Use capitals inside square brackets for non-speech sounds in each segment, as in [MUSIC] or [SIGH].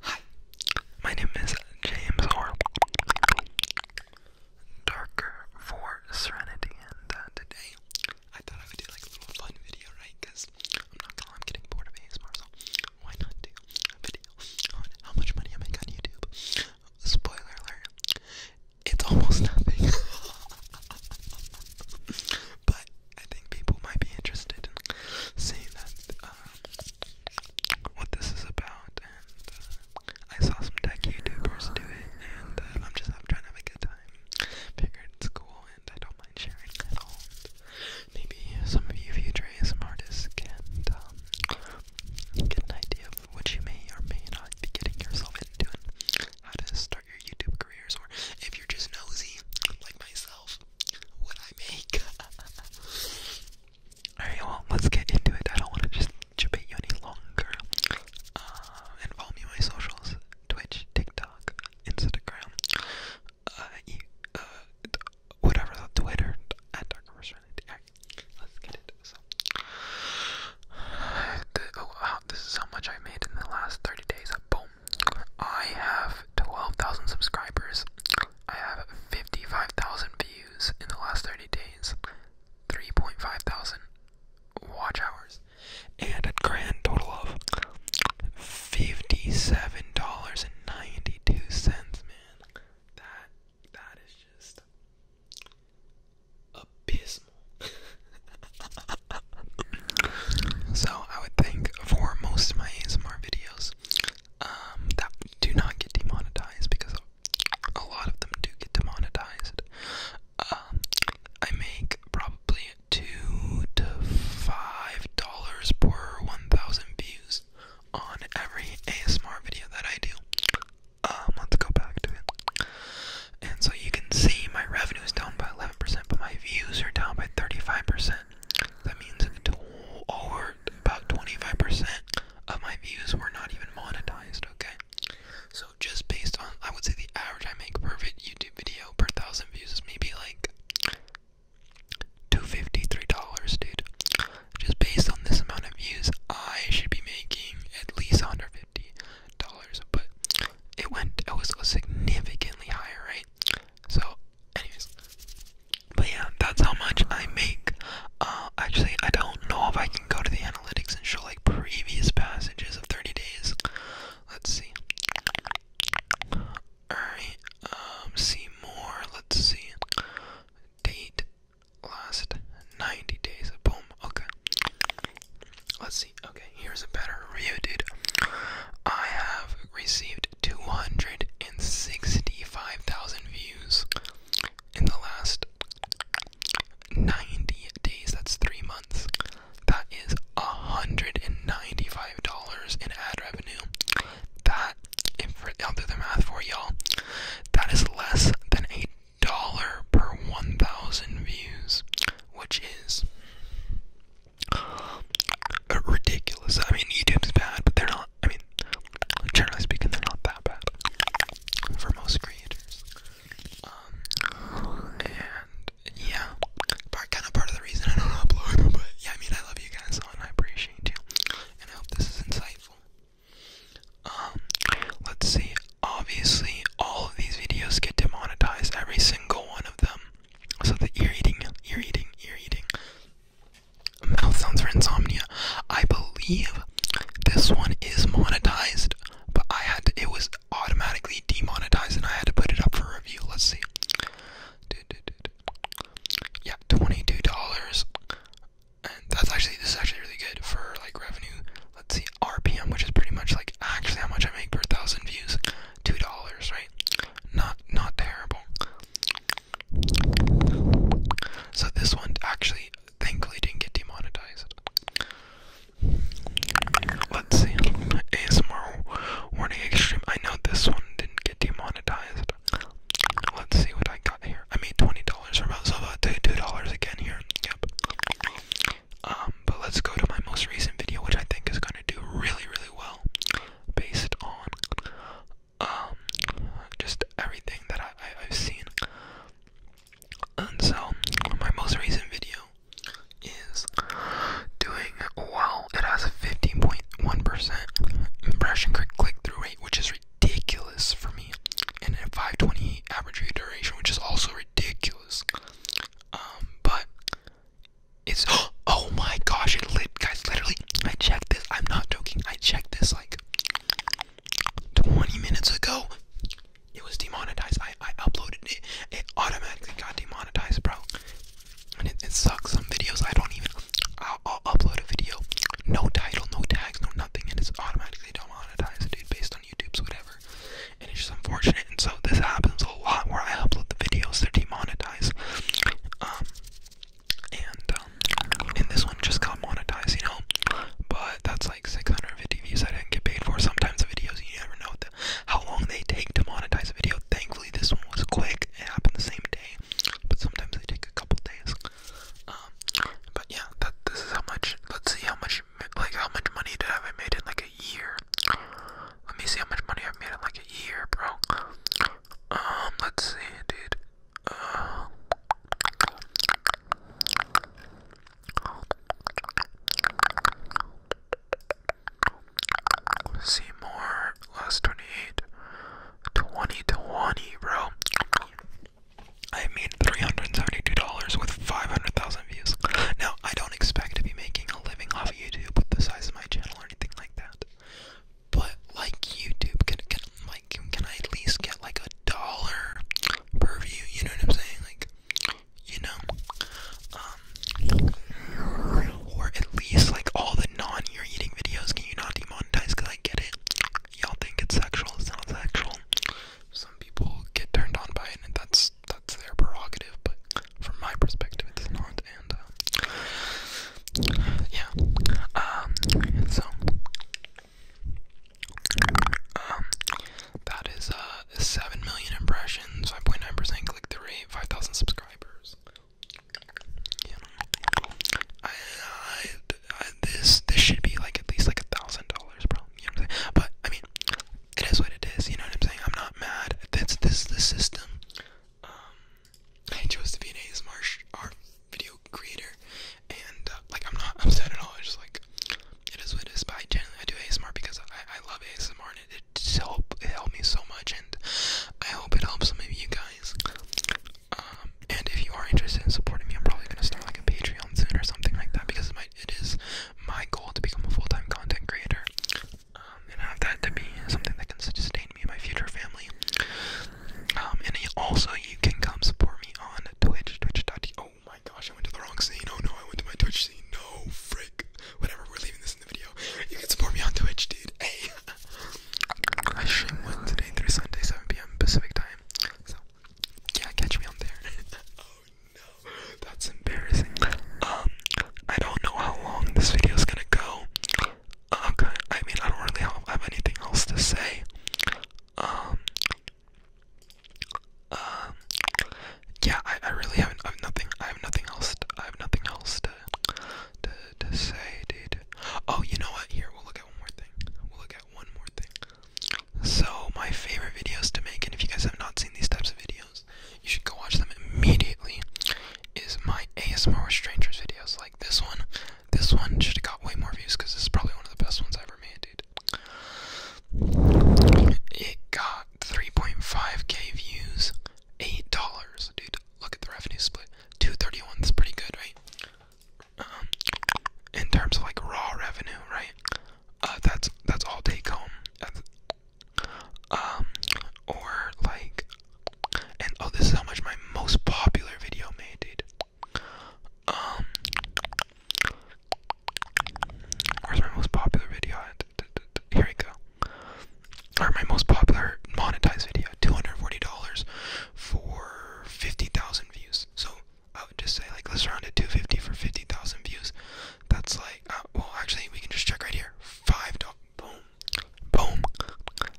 Hi, my name is James Orr. Darker for Serenity, and uh, today I thought I would do like a little fun video, right? Because I'm not going I'm getting bored of ASMR, so why not do a video on how much money I make on YouTube? Spoiler alert, it's almost [LAUGHS] nothing. but I think people might be interested seeing that uh, what this is about, and uh, I saw some tech YouTubers do it, and uh, I'm just trying to have a good time. Figured it's cool, and I don't mind sharing at all. maybe some of you future ASM artists can um, get an idea of what you may or may not be getting yourself into, and how to start your YouTube careers, or if you're just nosy like myself [LAUGHS] Alright, well, let's get into it. I don't want to just debate you any longer. Uh, follow me on my socials Twitch, TikTok, Instagram, uh, uh, whatever, Twitter, let's get into this. [SIGHS] oh, this is how much I made in the last 30 days. Boom. I have 12,000 subscribers. I have 55,000 views in the last 30 days, 3.5 thousand watch hours, and a grand total of $57.92, man. That, that is just abysmal. [LAUGHS] so, I would think for most of my ASMR videos, um, that do not get demonetized because a lot of them do get demonetized. Um, I make probably two to five dollars per one thousand views on every ASMR video that I do. Um, let's go back to it. And so you can see my revenue is down by eleven percent, but my views are down by thirty-five percent. That means over about 25% of my views were not even monetized, okay? So just based on, I would say the average I make per video per thousand views is maybe like $253, dude. Just based on this amount of views, I should be making at least $150, but it went, it was significantly higher, right? So, anyways, but yeah, that's how much I make. Uh, actually, I don't know if I can go to the analytics and show like previous passages of 30 days. Let's see. Alright, um, see more. Let's see. Date last 90 days. Boom. Okay. Let's see. Okay, here's a better review, dude. I have received 265,000 views in the last 90 days. That's three months. That is $195 in ad revenue. That, if I'll do the math for y'all, that is less than a dollar per 1,000 views, which is ridiculous. I mean, YouTube's bad, but they're not I mean, generally speaking, they're not that bad for most creators. Um, and yeah, kind of part of the reason I don't upload [LAUGHS] but yeah, I mean, I love you guys and I appreciate you, and I hope this is insightful. Um, let's see, obviously, all of these videos get demonetized, every single one of them. So the ear eating, ear eating, ear eating, Mouth sounds for insomnia. I believe this one is monetized, but I had it was automatically demonetized, and I had to put it up for review. Let's see. Yeah, twenty-two dollars, and that's actually this is actually really good for like revenue. Let's see RPM, which is pretty much like actually how much I make per thousand views. Two dollars, right? Not not terrible. So this one actually, thankfully, didn't get demonetized. Let's see. ASMR warning extreme. I know this one didn't get demonetized. Let's see what I got here. I made twenty dollars from so about two dollars again here. Yep. Um, but let's go to my most recent video, which I think is gonna do really, really well, based on um, just everything that I, I, have seen. And so, my most recent video is doing well. It has a 15.1% impression click through rate, which is ridiculous for me, and a 528 average view duration, which is also ridiculous. Um, but it's [GASPS] oh my gosh, it guys, literally, I checked this. I'm not joking. I checked this like 20 minutes ago. It was demonetized. I, I uploaded it. It automatically got demonetized, bro. And it, sucks. Some videos I don't even. I'll, upload a video, no title, no tags, no nothing, and it's automatically demonetized, dude, based on YouTube's whatever. And it's just unfortunate. And so this happens a lot where I upload the videos, they're demonetized. Um, and um, and this one just got monetized, you know. But that's like 650 views I didn't get paid for. Sometimes the videos you never know how long they take to monetize a video. Thankfully, this one was quick. It happened the same day, but sometimes they take a couple days. Um, but yeah, that this is how much. Let's see how much like how much money did I have made in like a year. Let me see how much money i made in like a year, bro. Um, let's see, dude. Uh, Seymour, last 28. 2020, bro. I made $372 with 500,000 views. Now, I don't expect to be making a living off YouTube with the size of my channel or anything like that. But like YouTube, can can like can I at least get like a dollar per view? You know what I'm saying? Like, you know, um, or at least like all the non eating videos. Can you not demonetize? Cause I get it. Y'all think it's sexual. It's not sexual. Some people get turned on by it, and that's that's their prerogative. But from my perspective, it's not. Uh, yeah. Um, so um, that is uh, seven million impressions, five point nine percent click through rate, five thousand subscribers. this this should be like at least like a thousand dollars, bro. You know what I'm saying? But I mean, it is what it is. You know what I'm saying? I'm not mad. That's this the system. Um, I chose to be an ASMR art video creator, and uh, like I'm not [LAUGHS] upset at all. It's just like it is what it is. By I generally I do ASMR because I, I love ASMR and it, it helped it helped me so much, and I hope it helps some of you guys. Um, and if you are interested in supporting me, I'm probably gonna start like a Patreon soon or something like that because it might it is my goal to become a full time content creator. Um, and I have that to be something that can sustain me and my future family. Um, and also you can come support me on Twitch, Twitch. Oh my gosh, I went to the wrong scene. Oh no, I went to my Twitch scene. No, frick. Whatever, we're leaving this in the video. You can support me on Twitch, dude. Hey. [LAUGHS] I stream Wednesday through Sunday, 7 p.m. Pacific time. So, yeah, catch me on there. [LAUGHS] oh no, that's embarrassing. Um, I don't know how long this video is gonna go. Okay, I mean, I don't really have anything else to say. Um, um yeah, I, I really have I have nothing, I have nothing else, to, I have nothing else to, to, to say, dude. Oh, you know what, here, we'll look at one more thing, we'll look at one more thing. So, my favorite videos to make, and if you guys have not seen these types of videos, you should go watch them immediately, is my ASMR strangers videos, like this one, this one should have got way more views because this is probably one of the best ones I have ever made, dude. It got 3.5k views, eight dollars, dude. Look at the revenue split. 231 is pretty good, right? Um, in terms of like raw revenue, right? Uh, that's that's all take home. Um, or like and oh, this is how much my most popular video made, dude. Um, where's my most popular video Here we go. Or my most popular monetized video, two hundred forty dollars for fifty thousand views. So I would just say like let's round it to fifty for fifty thousand views. That's like uh, well, actually we can just check right here. Five dollars. Boom boom.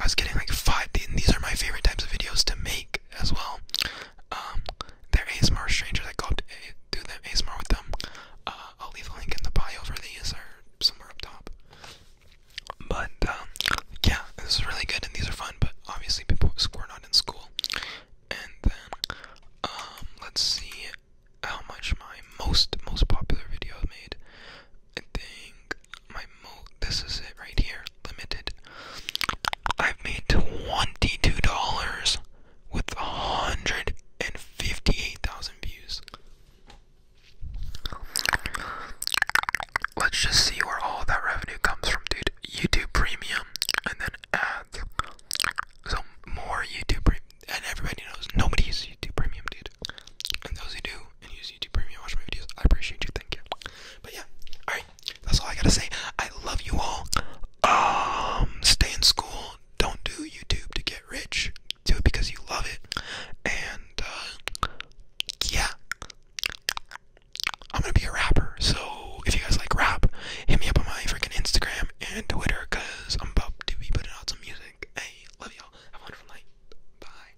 I was getting like five. These are my favorite types of videos to make as well. Um, they ASMR strangers. I go to do them ASMR with them. Uh, I'll leave a link in the bio for these or somewhere up top. But um, yeah, this is really good and these are fun. But obviously, people score not in school. And then um, let's see how much my most most popular video made. I think my mo this is it right here, limited. I've made twenty-two dollars with a hundred and fifty-eight thousand views. Let's just see where all that revenue comes from, dude. YouTube Premium and then ads. So more YouTube Premium, and everybody knows nobody uses YouTube Premium, dude. And those who do and use. YouTube Premium, watch my videos. I appreciate you. Thank you. But yeah, all right. That's all I gotta say. I love you all. Um, stay in school. Don't do YouTube to get rich. Do it because you love it. And uh, yeah, I'm gonna be a rapper. So if you guys like rap, hit me up on my freaking Instagram and Twitter, cause I'm about to be putting out some music. Hey, love y'all. Have a wonderful night. Bye.